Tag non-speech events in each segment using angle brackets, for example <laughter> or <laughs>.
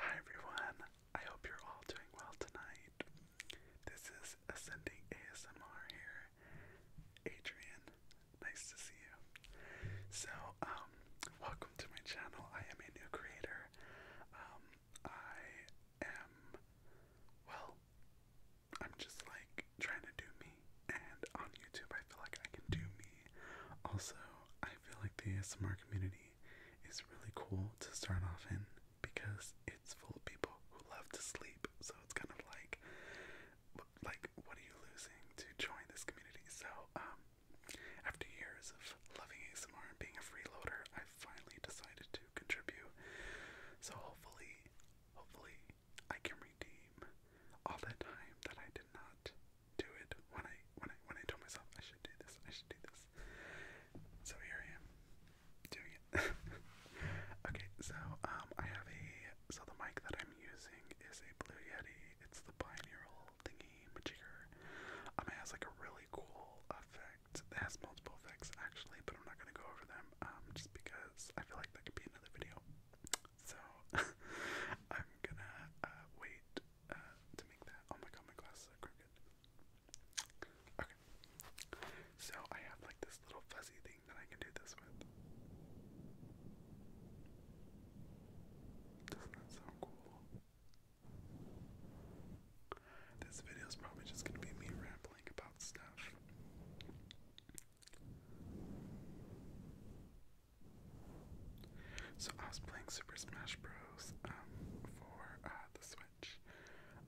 Hi everyone, I hope you're all doing well tonight. This is Ascending ASMR here. Adrian, nice to see you. So, um, welcome to my channel. I am a new creator. Um, I am, well, I'm just like trying to do me, and on YouTube I feel like I can do me. Also, I feel like the ASMR community it's really cool to start off in because it's full of people who love to sleep. So it's kind of like, like what are you losing to join this community? So um, after years of loving ASMR and being a freeloader, I finally decided to contribute. So hopefully, hopefully, I can redeem all the time that I did not do it when I when I when I told myself I should do this, I should do this. So here I am doing it. <laughs> okay, so um I have a so the mic that I'm using is a Blue Yeti. It's the binaural thingy majigger. Um, it has like a really cool effect. It has multiple effects actually, but I'm not gonna go over them um just because I feel like that could be another video. So <laughs> I'm gonna uh, wait uh, to make that. Oh my god, my glasses are crooked. Okay. So I have like this little fuzzy thing that I can do this with. Doesn't that sound cool? This video is probably just gonna be me rambling about stuff. So I was playing Super Smash Bros. Um, for uh, the Switch,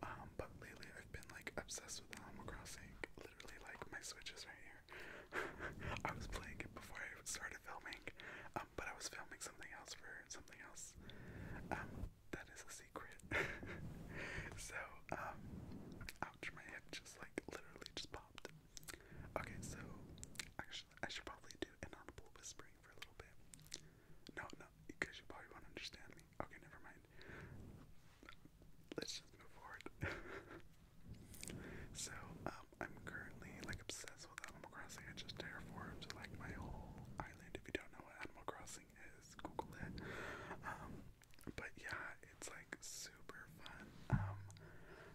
um, but lately I've been like obsessed with Animal Crossing. Literally, like my Switch is right here. <laughs> I was playing it before I started filming, um, but I was filming something else for something else. that is a secret. <laughs> so ouch! My hip just like literally just popped. Okay, so actually. I should probably do inaudible whispering for a little bit. No, no, because you probably won't understand me. Okay, never mind. Let's just move forward. <laughs> so, um, I'm currently like obsessed with Animal Crossing. I just terraformed like my whole island. If you don't know what Animal Crossing is, Google it. Um, but yeah, it's like super fun. Um,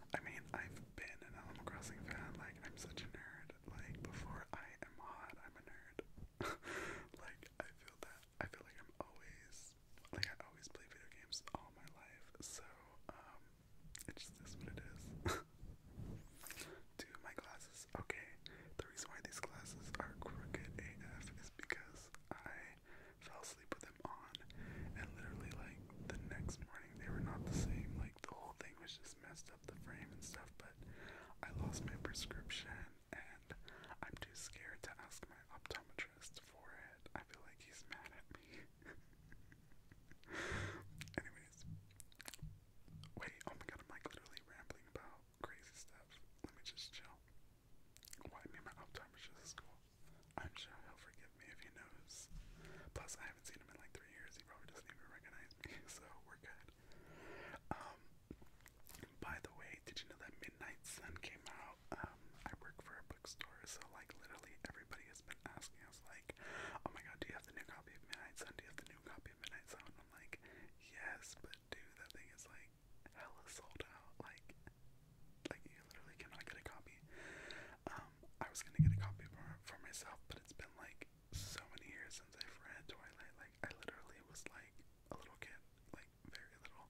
I mean, I've been an Animal Crossing fan. Like, I'm such a nerd. Like, before I am hot, I'm a nerd. <laughs> like, I feel that. I feel like I'm always, like, I always play video games all my life. So, um, it just is what it is. <laughs> Dude, my glasses. Okay, the reason why these glasses are crooked AF is because I fell asleep with them on, and literally, like, the next morning they were not the same. Like, like the whole thing was just messed up the frame and stuff, but I lost my prescription and I'm too scared to ask my optometrist for it. I feel like he's mad at me. <laughs> Anyways. Wait, oh my god, am like literally rambling about crazy stuff. Let me just chill. Why me my optometrist is cool. I'm sure he'll forget forgive me if he knows. Plus, I haven't seen him in like three years. He probably doesn't even recognize me, <laughs> so we're good. Um, by the way, did you know that Midnight Sun came out? Um, I work for a bookstore, so like literally everybody has been asking us, like, oh my god, do you have the new copy of Midnight Sun? Do you have the new copy of Midnight Sun? And I'm like, yes, but dude, that thing is like hella sold out. Like, like you literally cannot get a copy. Um, I was gonna get a copy for, for myself, but it's been like so many years since I've read Twilight. Like I literally was like a little kid, like very little.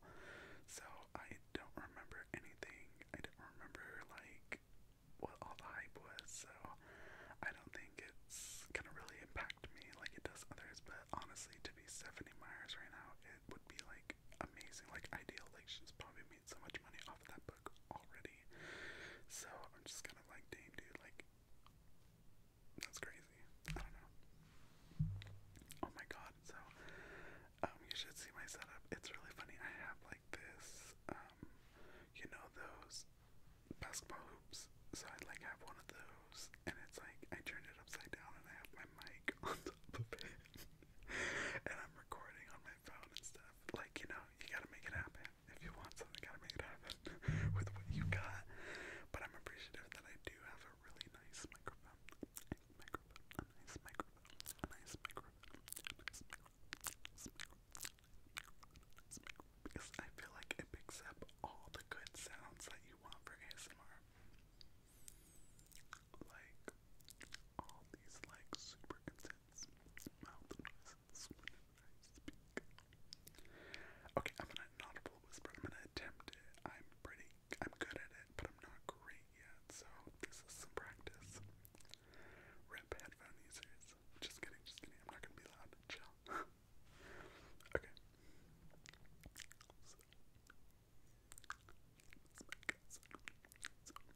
So I don't remember anything. I don't remember like what all the hype was. So I don't think it's gonna really impact me like it does others. But honestly, to be Stephanie Myers right now, it would be like amazing, like ideal. Like she's probably made so much money off of that already. So I'm just kind of like, dang, dude, like, that's crazy. I don't know. Oh my god, so, um, you should see my setup. It's really funny. I have like this, um, you know, those basketball hoops. So I like have one of those, and it's like I turned it upside down, and I have my mic <laughs> on top of it, <laughs> and I'm recording on my phone instead have. Like, you know, you gotta make it happen. If you want something, you gotta make it happen <laughs> with what you got. But I'm appreciative that I do have a really nice microphone. A microphone, a nice microphone, a nice microphone, a nice microphone. Because I feel like it picks up all the good sounds that you want for ASMR. Like all these like super intense I Okay, I'm gonna audible whisper. I'm gonna attempt it. I'm pretty. I'm good at it, but I'm not great yet. So this is some practice. Rip headphone Just kidding. Just kidding. I'm not gonna be loud. Chill. <laughs> okay.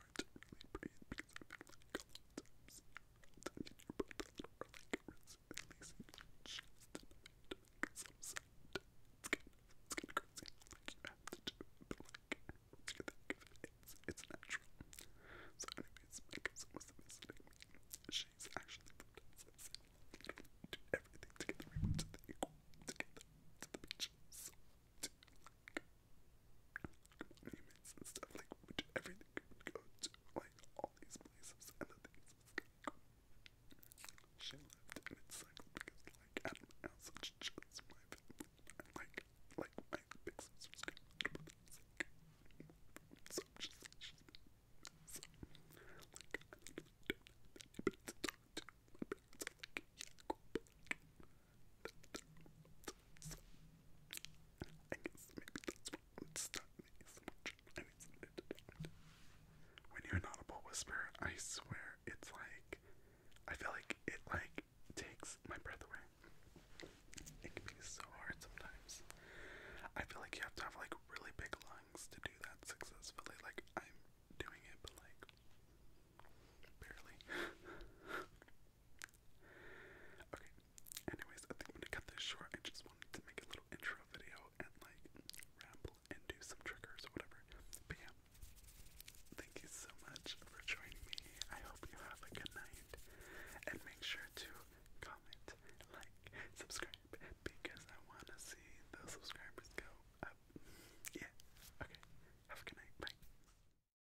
hard to really breathe because I feel like a lot of times I need to breathe a little or like releasing just a bit because I'm sad. It's kind of, it's kind of crazy. Like you have to do it, but like I think it's, it's natural. So anyways, my cousin was visiting me. She's actually from Texas. We do everything together. We went to the equal together, to the beaches monuments and stuff like which everything go to like all these places and the things she left and it's because like I don't know just my like like my big like so just like so like I don't know, talk to. My parents are I When you're an audible whisper, I swear it's like I feel like it like takes my breath away. It can be so hard sometimes. I feel like you have to have like really big lungs to do that successfully. Like I'm doing it, but like barely. <laughs> Okay, anyways, I think I'm gonna cut this short. I just wanted to make a little intro video and like ramble and do some triggers or whatever. But thank you so much for joining me. I hope you have a good night. And make sure to comment, like, subscribe, because I wanna see those subscribers go up. Yeah, okay. Have a good night. Bye.